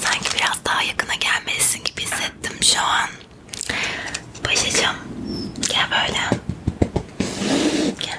Sanki biraz daha yakına gelmelisin gibi hissettim şu an. Başacığım gel böyle. Gel.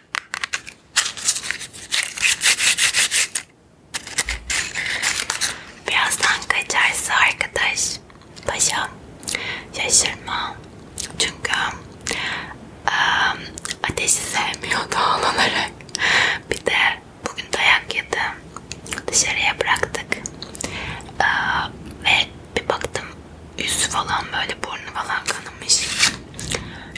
Birazdan kaçarsa arkadaş paşam şaşırma çünkü ıı, ateşi sevmiyor doğal olarak bir de bugün dayak yedim dışarıya bıraktık ıı, ve bir baktım yüzü falan böyle burnu falan kanamış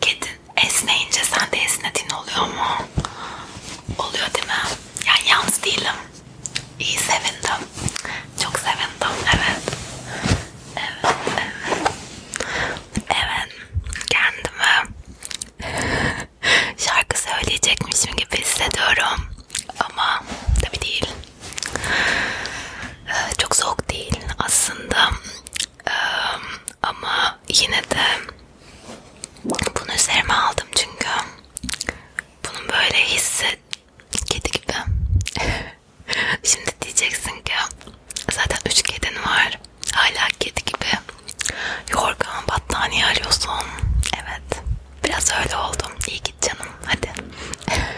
Kedin esneyince sen de esnediğin oluyor mu? Oluyor değil mi? Yani yalnız değilim. İyi sevindim. Çok sevindim. Evet. Evet. Evet. Evet. Kendimi şarkı söyleyecekmişim gibi hissediyorum. Ama tabii değil. Ee, çok soğuk değil aslında. Ee, ama yine de bunu üzerime aldım çünkü bunun böyle hissi kedi gibi. Şimdi diyeceksin ki zaten üç kedin var. Hala kedi gibi. Yorgan battaniye arıyorsun. Evet. Biraz öyle oldum. İyi git canım. Hadi.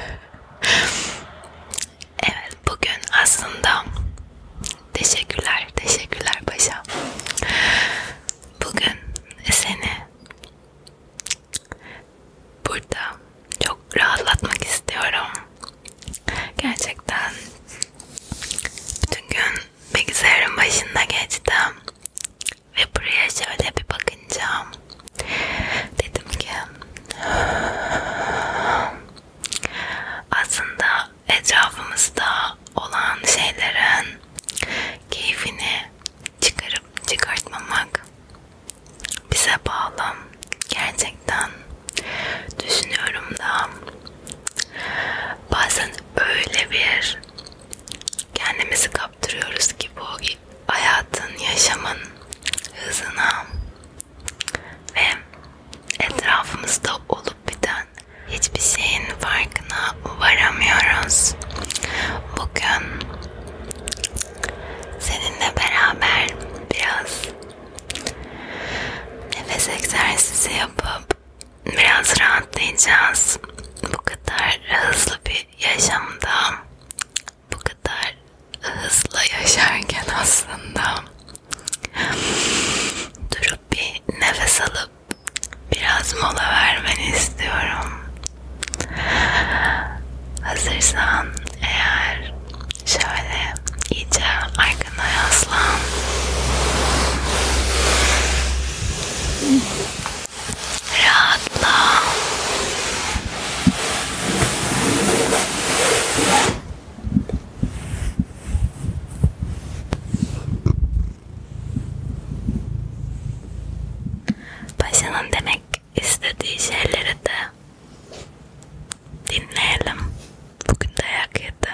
evet bugün aslında teşekkürler. Teşekkürler Paşa. Bugün seni burada çok rahatlatmak istiyorum. Gerçekten bütün gün bilgisayarın başında geçtim ve buraya şöyle bir bakınca dedim ki aslında etrafımızda olan şeylerin keyfini çıkarıp çıkartmamak bize bağlı. Gerçekten düşünüyorum da bazen öyle bir kendimizi kaptırıyoruz ki bu hayatın, yaşamın hızına ve etrafımızda olup biten hiçbir şeyin farkına varamıyoruz. Bugün seninle beraber biraz nefes egzersizi yapıp biraz rahatlayacağız. Bu kadar hızlı bir yaşamda, bu kadar hızlı yaşarken aslında durup bir nefes alıp biraz mola vermeni istiyorum. Hazırsan eğer şöyle iyice arkana yaslan. Rahatla. Paşa'nın demek istediği şeyleri de dinleyelim. Bugün dayak yedi.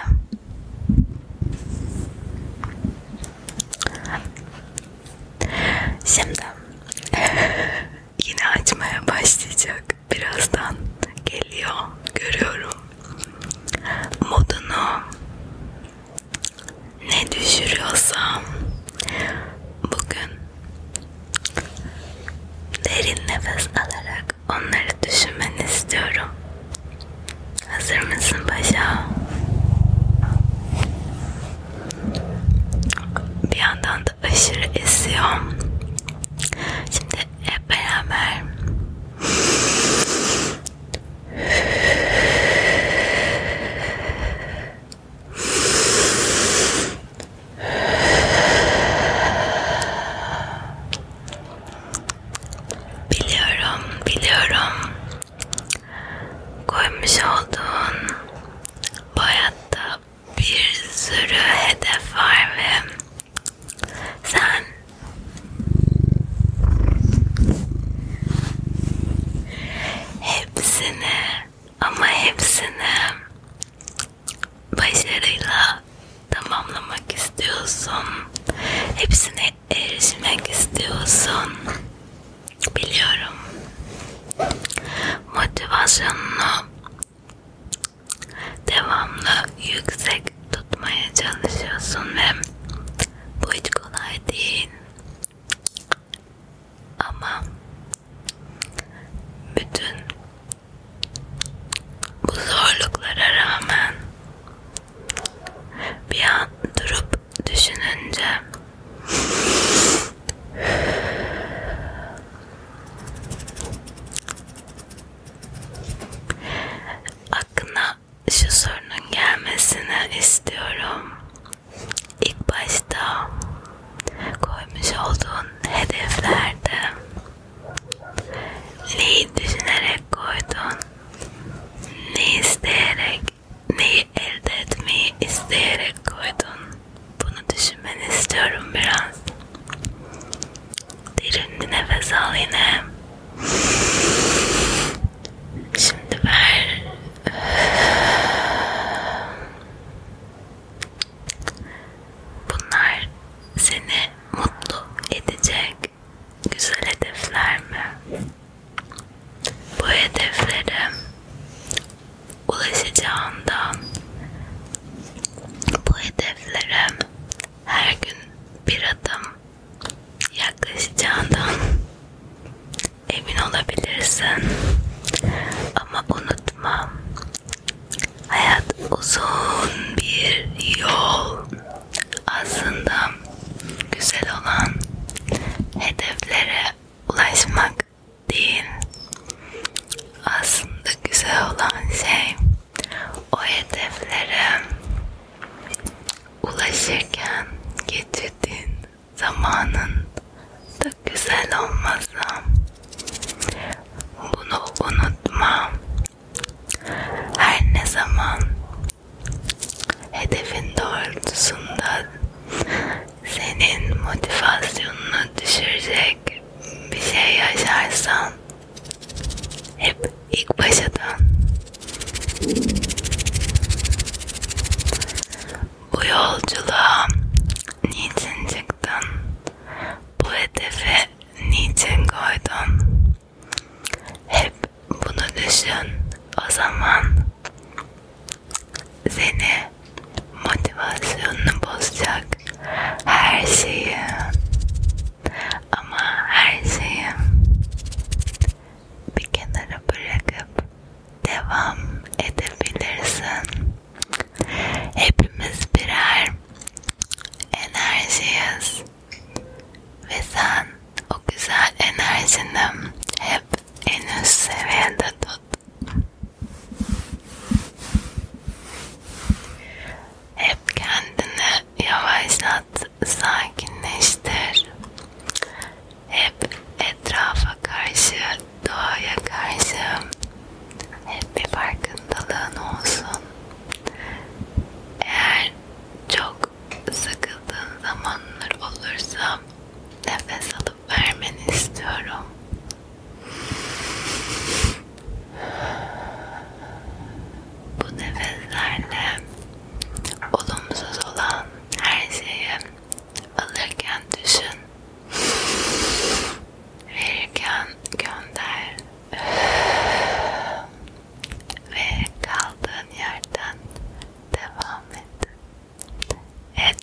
Şimdi yine açmaya başlayacak. Birazdan geliyor. Görüyorum. Modunu ne düşürüyorsam bugün derin nefes alarak onları düşünmeni istiyorum. Hazır mısın paşa? Bir yandan da aşırı esiyor. Şimdi hep beraber Biliyorum, biliyorum. Koymuş olduğun bu hayatta bir sürü hedef var ve sen Hepsini ama hepsini başarıyla tamamlamak istiyorsun. Hepsine erişmek istiyorsun. Biliyorum. Motivasyonunu devamlı yüksek tutmaya çalışıyorsun ve bu hiç kolay değil. Ama bütün bu zorluklara rağmen bir an durup düşününce aklına şu sorunun gelmesini istiyorum. İlk başta koymuş olduğun hedeflerde neyi düşünerek koydun, ne isteyerek, neyi elde etmeyi isteyerek koydun. Bunu düşünmeni istiyorum biraz. Derin bir nefes al yine. Şimdi ver. Bunlar seni mutlu edecek güzel hedefler mi? Bu hedeflere ulaşacağından bu hedeflere her gün bir adım yaklaşacağından emin olabilirsin. Ama unutma, hayat uzun bir yol. Aslında güzel olan hedeflere ulaşmak değil. Aslında güzel olan şey o hedeflere ulaşırken geçirdiğin zamanın da güzel olmasa bunu unutma. Her ne zaman hedefin doğrultusunda senin motivasyonunu düşürecek bir şey yaşarsan hep ilk başadan bu yolculuğa niçin çıktın? Bu hedefi niçin koydun? Hep bunu düşün. O zaman seni motivasyonunu bozacak her şeyi ama her şeyi bir kenara bırakıp devam edebilirsin. Hepimiz birer enerjiyiz ve sen o güzel enerjini hep en üst seviyede tut. Hep kendini yavaşlat sakinleştir. Hep etrafa karşı, doğaya karşı hep bir farkındalığın olsun. Eğer çok sıkıldığın zamanlar olursa nefes alıp vermeni istiyorum. Bu nefeslerle olumsuz olan her şeyi alırken düşün, verirken gönder ve kaldığın yerden devam et. Et.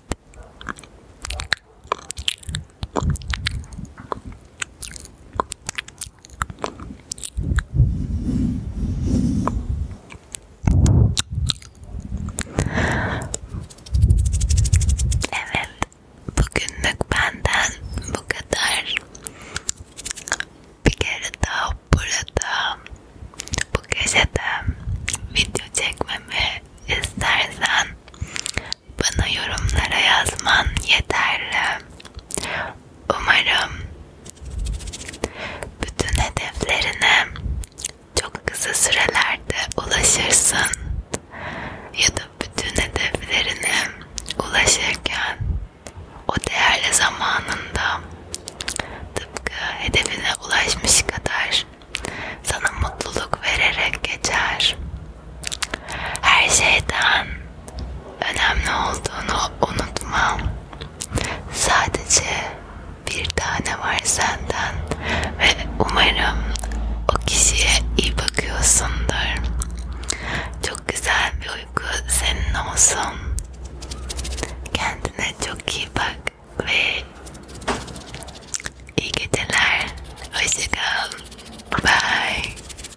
Evet, bugünlük benden bu kadar. Bir kere daha burada bu gecede video çekmemi istersen bana yorumlara yazman yeterli. Umarım bütün hedeflerine çok kısa sürelerde ulaşırsın ya da bütün hedeflerine ulaşırken o değerli zamanında tıpkı hedefine ulaşmış kadar sana mutluluk vererek geçer. Her şeyden Önemli olduğunu unutma. Sadece bir tane var senden ve umarım o kişiye iyi bakıyorsundur. Çok güzel bir uyku senin olsun. Kendine çok iyi bak ve iyi geceler. Hoşçakal. Bye.